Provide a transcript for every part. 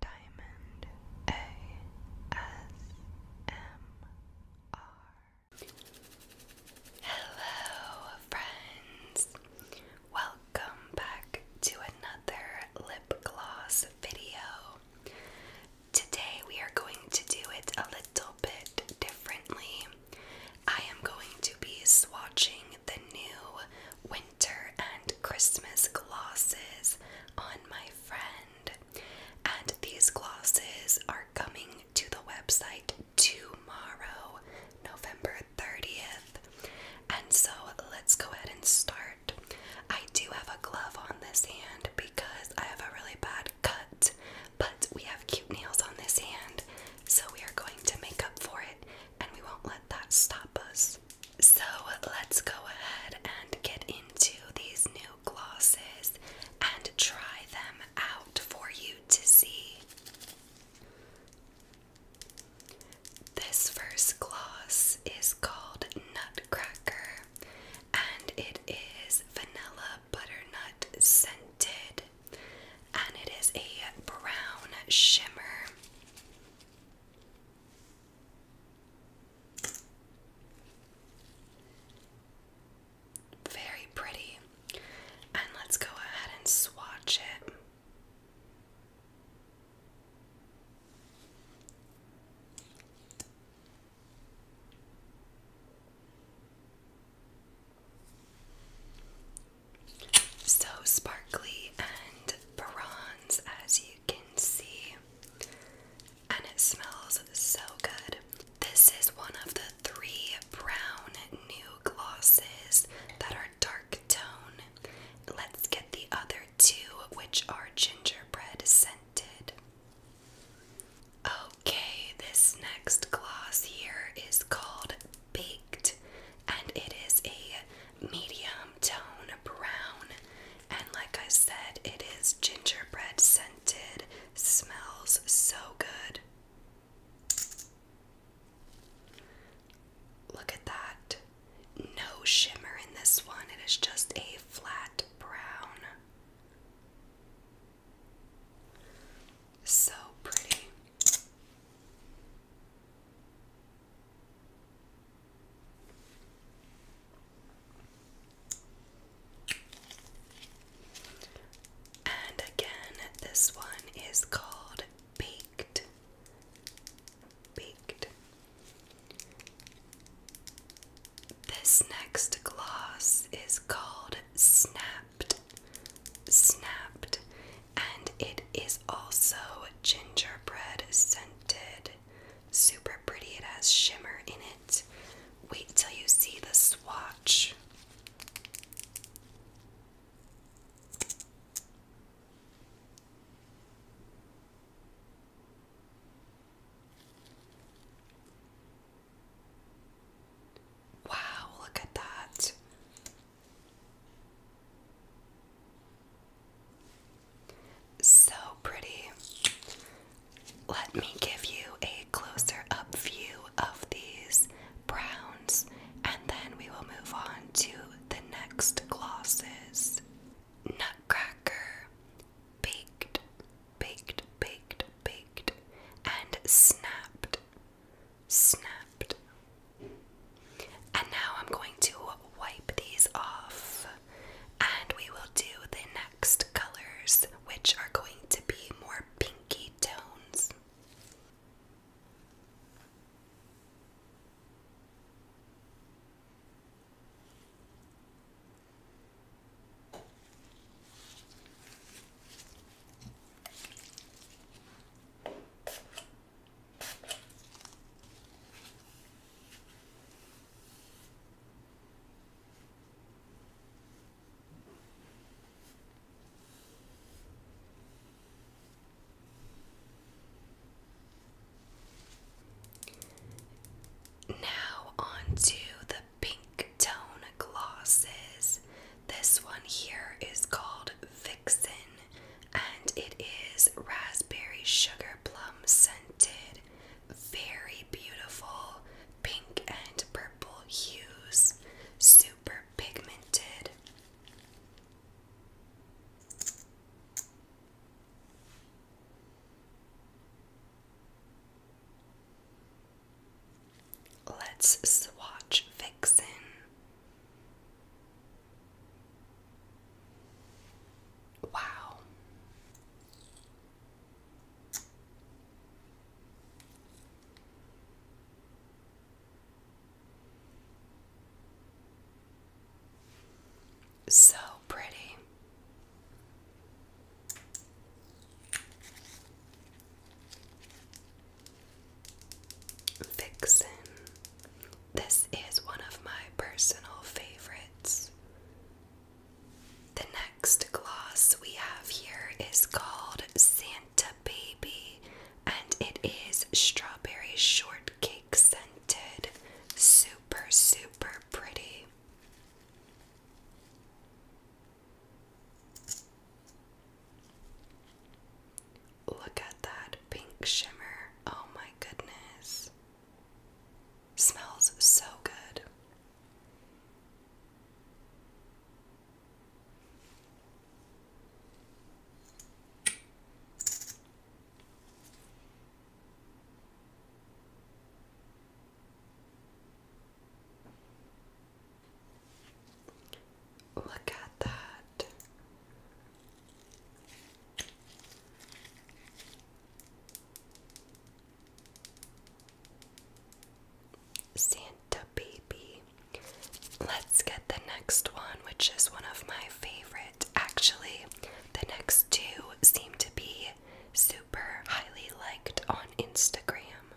Diamond ASMR. Hello, friends. Welcome back to another lip gloss video. Today we are going to do it a little bit differently. I am going to be swatching the new winter and Christmas glosses on my friend. And these glosses are coming to the website tomorrow, November 30th. And so let's go ahead and start. I do have a glove on this hand because I have a really bad cut, but we have cute nails on this hand, so we are going to make up for it and we won't let that stop us. So let's go ahead and get into these new glosses and try them out for you to see. This first gloss is called Nutcracker and it is vanilla butternut scented and it is a brown shimmer. Very pretty. And let's go ahead and swatch it. So sparkly and bronze as you can see, and it smells so good. This is one of the three brown new glosses that are dark tone. Let's get the other two, which are gingerbread scented. Okay, this next gloss here is called Baked, and it is a medium tone brown, and like I said, it is gingerbread scented, smells so good. Look at that. No shimmer in this one, it is just a flat brown. So pretty. And again, this one is called Baked. Baked. This next gloss is called Snapped. Snapped. And it is also gingerbread scent pigmented, super pretty. It has shimmer in it. Wait till you see the swatch. Wow, look at that. So pretty. Let me give you a closer up view of these browns and then we will move on to the next glosses. Nutcracker, baked, baked, baked, baked, and snapped, snapped, and now I'm going to wipe these off and we will do the next colors, which are going to be more pinky tones. Now, onto the pink tone glosses. This one here is called Vixen and it is raspberry sugar plum scented, very beautiful pink and purple hues, super pigmented. Let's swatch Vixen. Wow. So pretty. Vixen. This is one of my personal favorites. The next gloss we have here is called Santa Baby, and it is strawberry shortcake scented. Super, super pretty. Look at that pink shimmer. Oh my goodness. Smells so good. Look at that. Santa Baby. Let's get the next one, which is one of my favorite. Actually, the next two seem to be super highly liked on Instagram.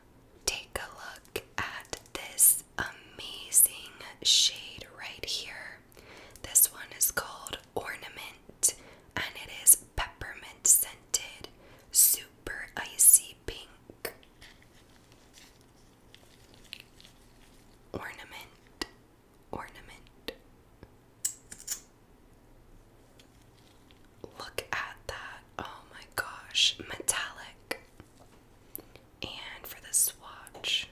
Take a look at this amazing shade right here. This one is called Ornament and it is peppermint scented, super icy pink. Ornament, ornament. Look at that. Oh my gosh, metallic. And for the swatch,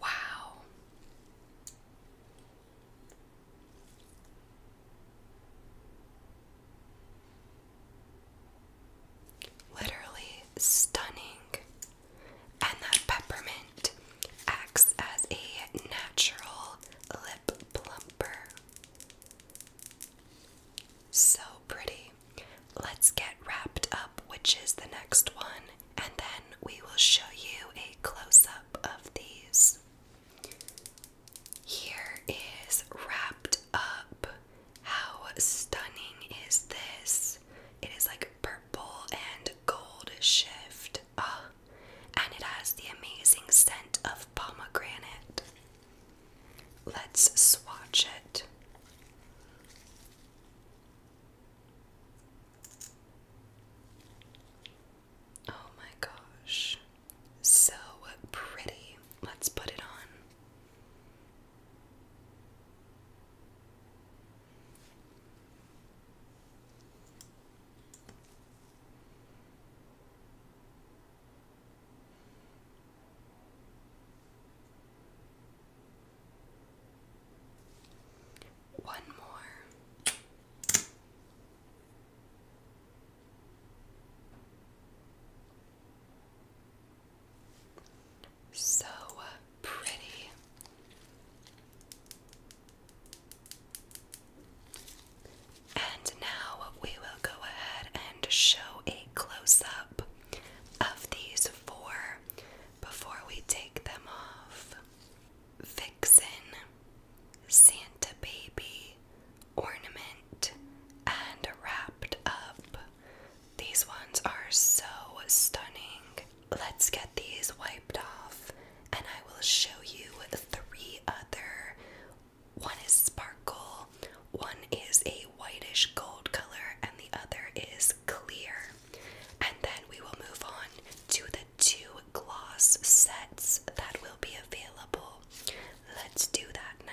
Wow. Literally stunning. And that peppermint acts as a natural lip plumper. So pretty. Let's get wrapped up, which is the next one, and then we will show you a close up of these. Here is wrapped up. How stunning is this? It is like purple and gold shift. Ah, and it has the amazing scent of pomegranate. Let's swatch it. Oh my gosh. So pretty. Let's put it on. One more. So pretty. And now we will go ahead and show a close up of these four before we take them off Vixen, Santa Baby, Ornament, and Wrapped Up. These ones are so stunning. Let's get these wiped off, and I will show you three other one is sparkle, one is a whitish gold color, and the other is clear. And then we will move on to the two gloss sets that will be available. Let's do that now.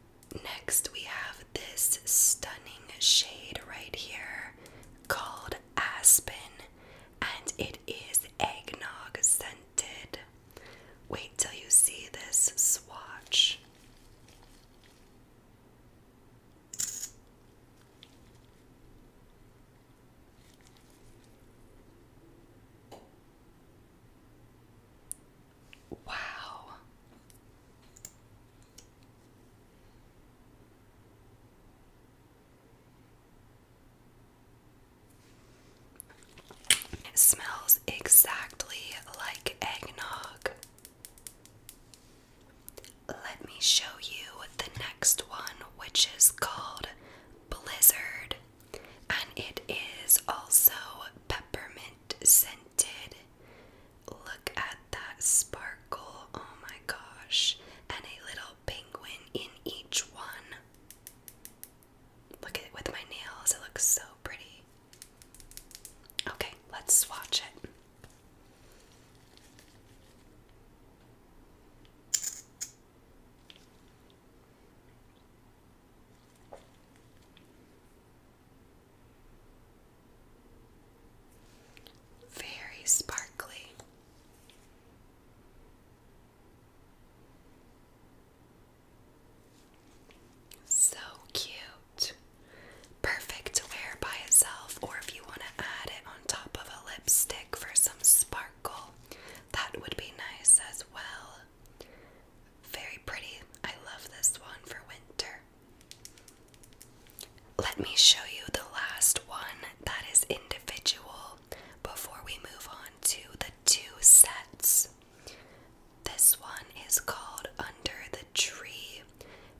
Next, we have this stunning shade right here called Aspen, and it is eggnog scented. Wait till you see this swatch. Wow. It smells exactly like eggnog. Let me show you the next one, which is called Blizzard and it is also peppermint scented. Look at that sparkle, oh my gosh, and a little penguin in each one. Look at it with my nails, it looks so pretty. Okay, let's swatch it. Very sparkly. So cute. Perfect to wear by itself, or if you want to add it on top of a lipstick for some sparkle, that would be nice as well. Very pretty. I love this one for winter. Let me show you the last one that is individual before we move on to the two sets. This one is called Under the Tree.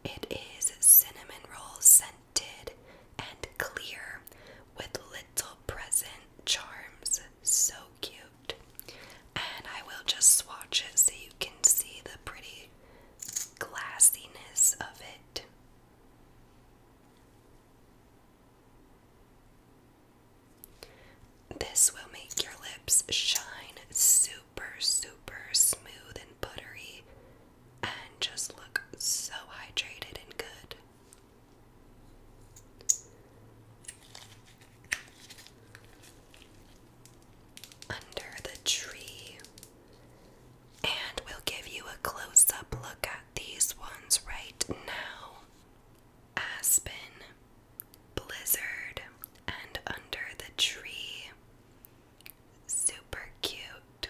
It is cinnamon roll scented and clear with little present charms. So cute. And I will just swatch it so you can see the pretty glassiness of it. This will make your lips shine super, super smooth and buttery and just look so hydrated and good under the tree. And we'll give you a close up look at these ones right now Aspen, Blizzard, and Under the Tree. Super cute.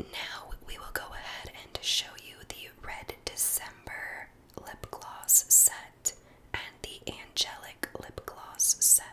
Now we will go ahead and show you the Red December lip gloss set and the angelic lip gloss set.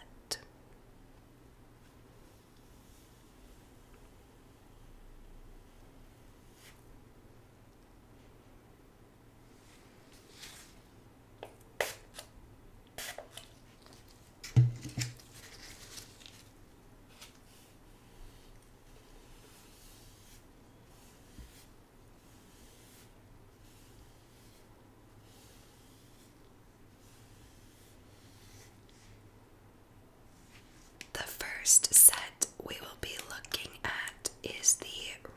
The first set we will be looking at is the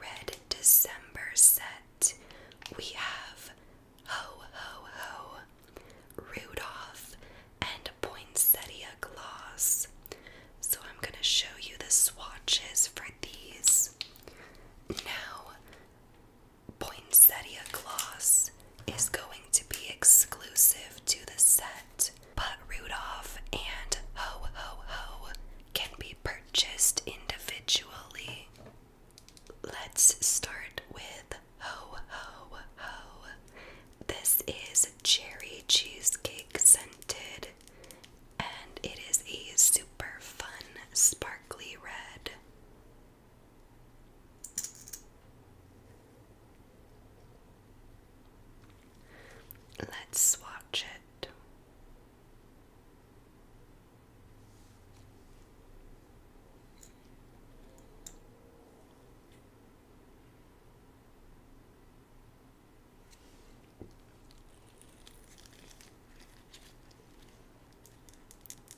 Red December set. We have Ho Ho Ho, Rudolph, and Poinsettia Gloss. So I'm going to show you the swatches for these. Now, Poinsettia Gloss is going to be exclusive to the set, but Rudolph and Ho Ho Ho can be purchased individually. Let's start with Ho Ho Ho. This is cherry cheesecake scented and it is a super fun sparkly red. Let's swatch it.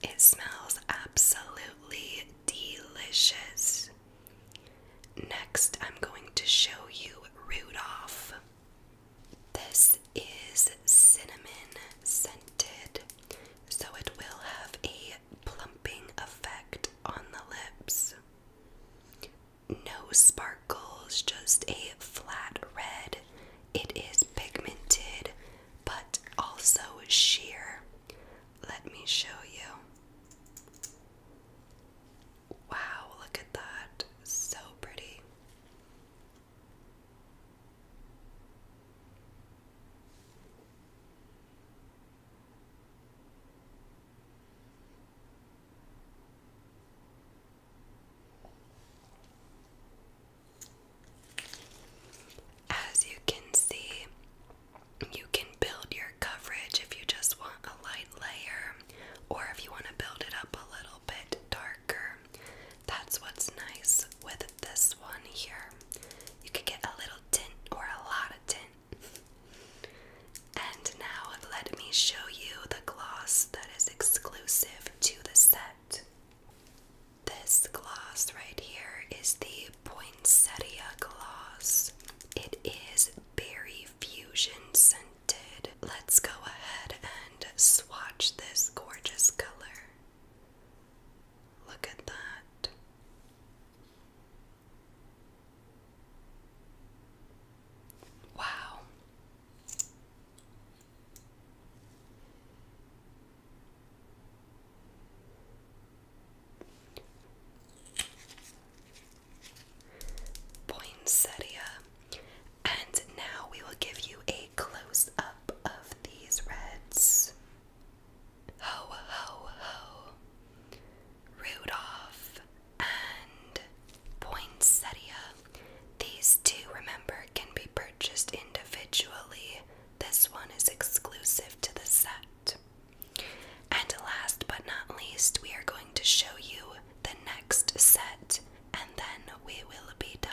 It smells absolutely delicious. Next, I'm going to show you Rudolph. This is cinnamon scented, so it will have a plumping effect on the lips no sparkles, just a flat red. It is pigmented but also sheer. Let me show you. Wow, look at that. So pretty. As you can see, you can build your coverage if you just want a light layer or if you want to build it up a little bit darker. That's what's nice with this one here. You could get a little tint or a lot of tint and now let me show you the gloss that is exclusive to the set. This gloss right here is the Poinsettia gloss. It is berry fusion scented. Let's go ahead and swatch this gorgeous color. Look at that. Wow. Poinsettia. And now we will give you a close up of these reds. Ho, ho, ho. Rudolph, and Poinsettia. These two, remember, can be purchased individually. This one is exclusive to the set. And last but not least, we are going to show you the next set and then we will be done.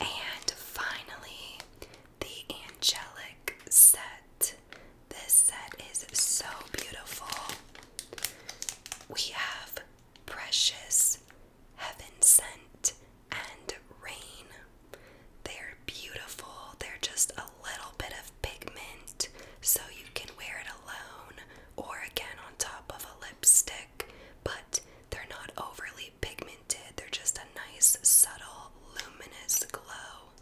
And finally, the angelic set. This set is so beautiful. We have precious, heaven sent, and rain they're beautiful. They're just a little bit of pigment, so you can wear it alone or again on top of a lipstick, but they're not overly pigmented. They're just a nice, subtle, luminous glow.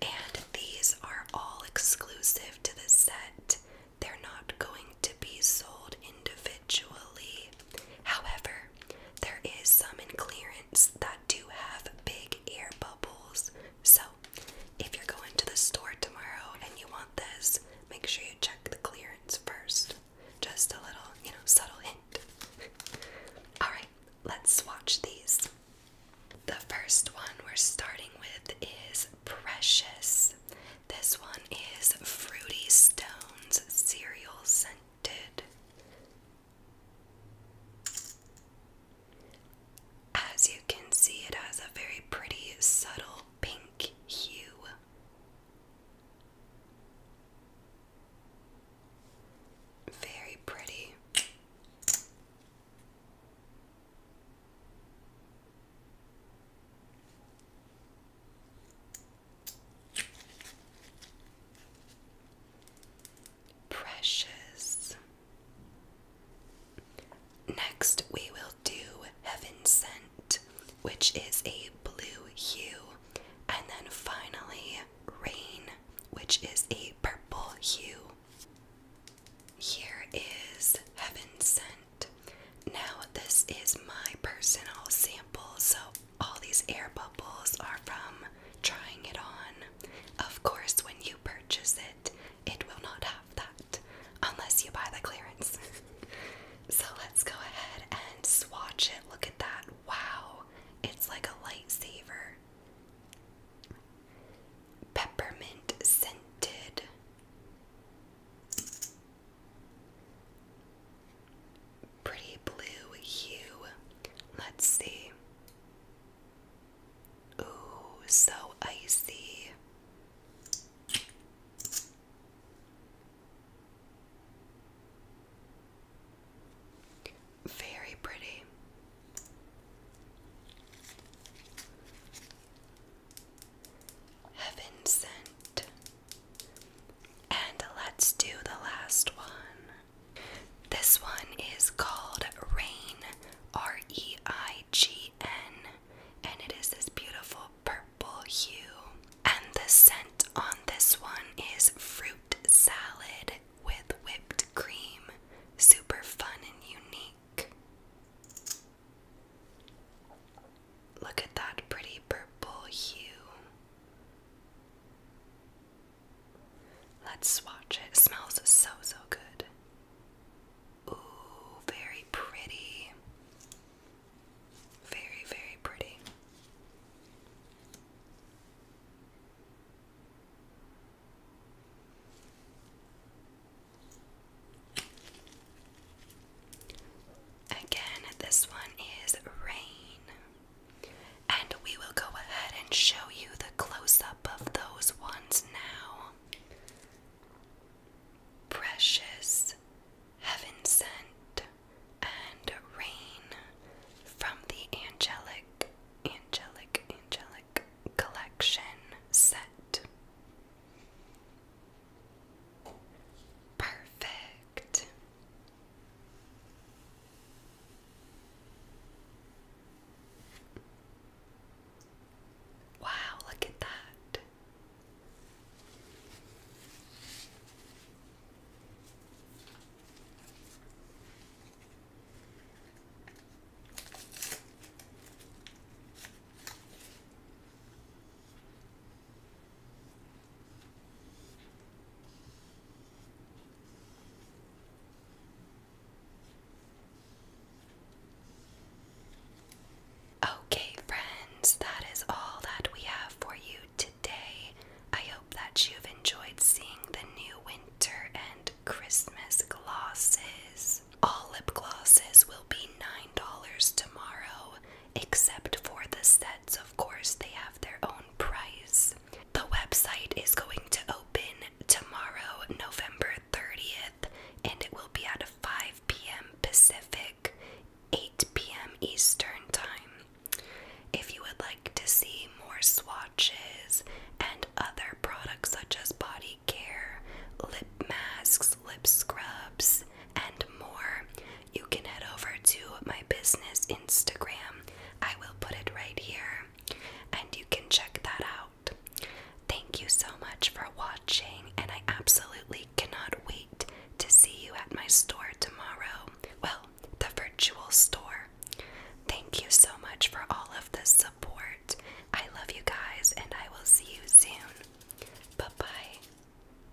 And these are all exclusive to the set. They're not going to be sold individually. However, there is some in clearance that do have big air bubbles. So, if you're going to the store tomorrow and you want this, make sure you check the clearance first. Just a little, you know, subtle hint. Alright, let's swatch these. The first one we're starting with is Precious. This one is Fruity Stones Cereal Scent as you can see, it has a very pretty, subtle pink hue. Very pretty. Precious. Next, we will do Heaven Sent, which is a blue hue, and then finally, Rain, which is a purple hue. Here is Heaven Sent. Now, this is my personal sample, so all these air bubbles are from trying it on. Of course, when you purchase it, it will not have that unless you buy the clearance. so let's go ahead and swatch it. Look at that. Wow, it's like a lightsaber. Peppermint scented. Pretty blue hue. Let's see. Ooh, so icy. Very pretty. Heaven sent. And let's do the last one. This one is called Rain, R E I G N, and it is this beautiful purple hue. And the scent on this one is fruit salad with whipped cream. Super fun and unique. Look at that pretty purple hue. Let's swatch it. smells so, so good. Ooh, very pretty. Very, very pretty. Again, this one is rain. And we will go ahead and show you the close up of those ones now. Precious, heaven sent, and rain from the angelic, angelic, angelic collection set. Perfect. Wow, look at that. Okay, friends, that is all that we have for you today. I hope that you've enjoyed seeing the new winter and Christmas glosses. All lip glosses will be $9 tomorrow, except for the sets of of course, they have their own price. The website is going to open tomorrow, November 30th, and it will be at 5 p.m. Pacific, 8 p.m. Eastern Time. If you would like to see more swatches and other products such as body care, lip masks, lip scrubs, and more, you can head over to my business Instagram. I will put it right here and you can check that out. Thank you so much for watching, and I absolutely cannot wait to see you at my store tomorrow. Well, the virtual store. Thank you so much for all of the support. I love you guys, and I will see you soon. Bye bye.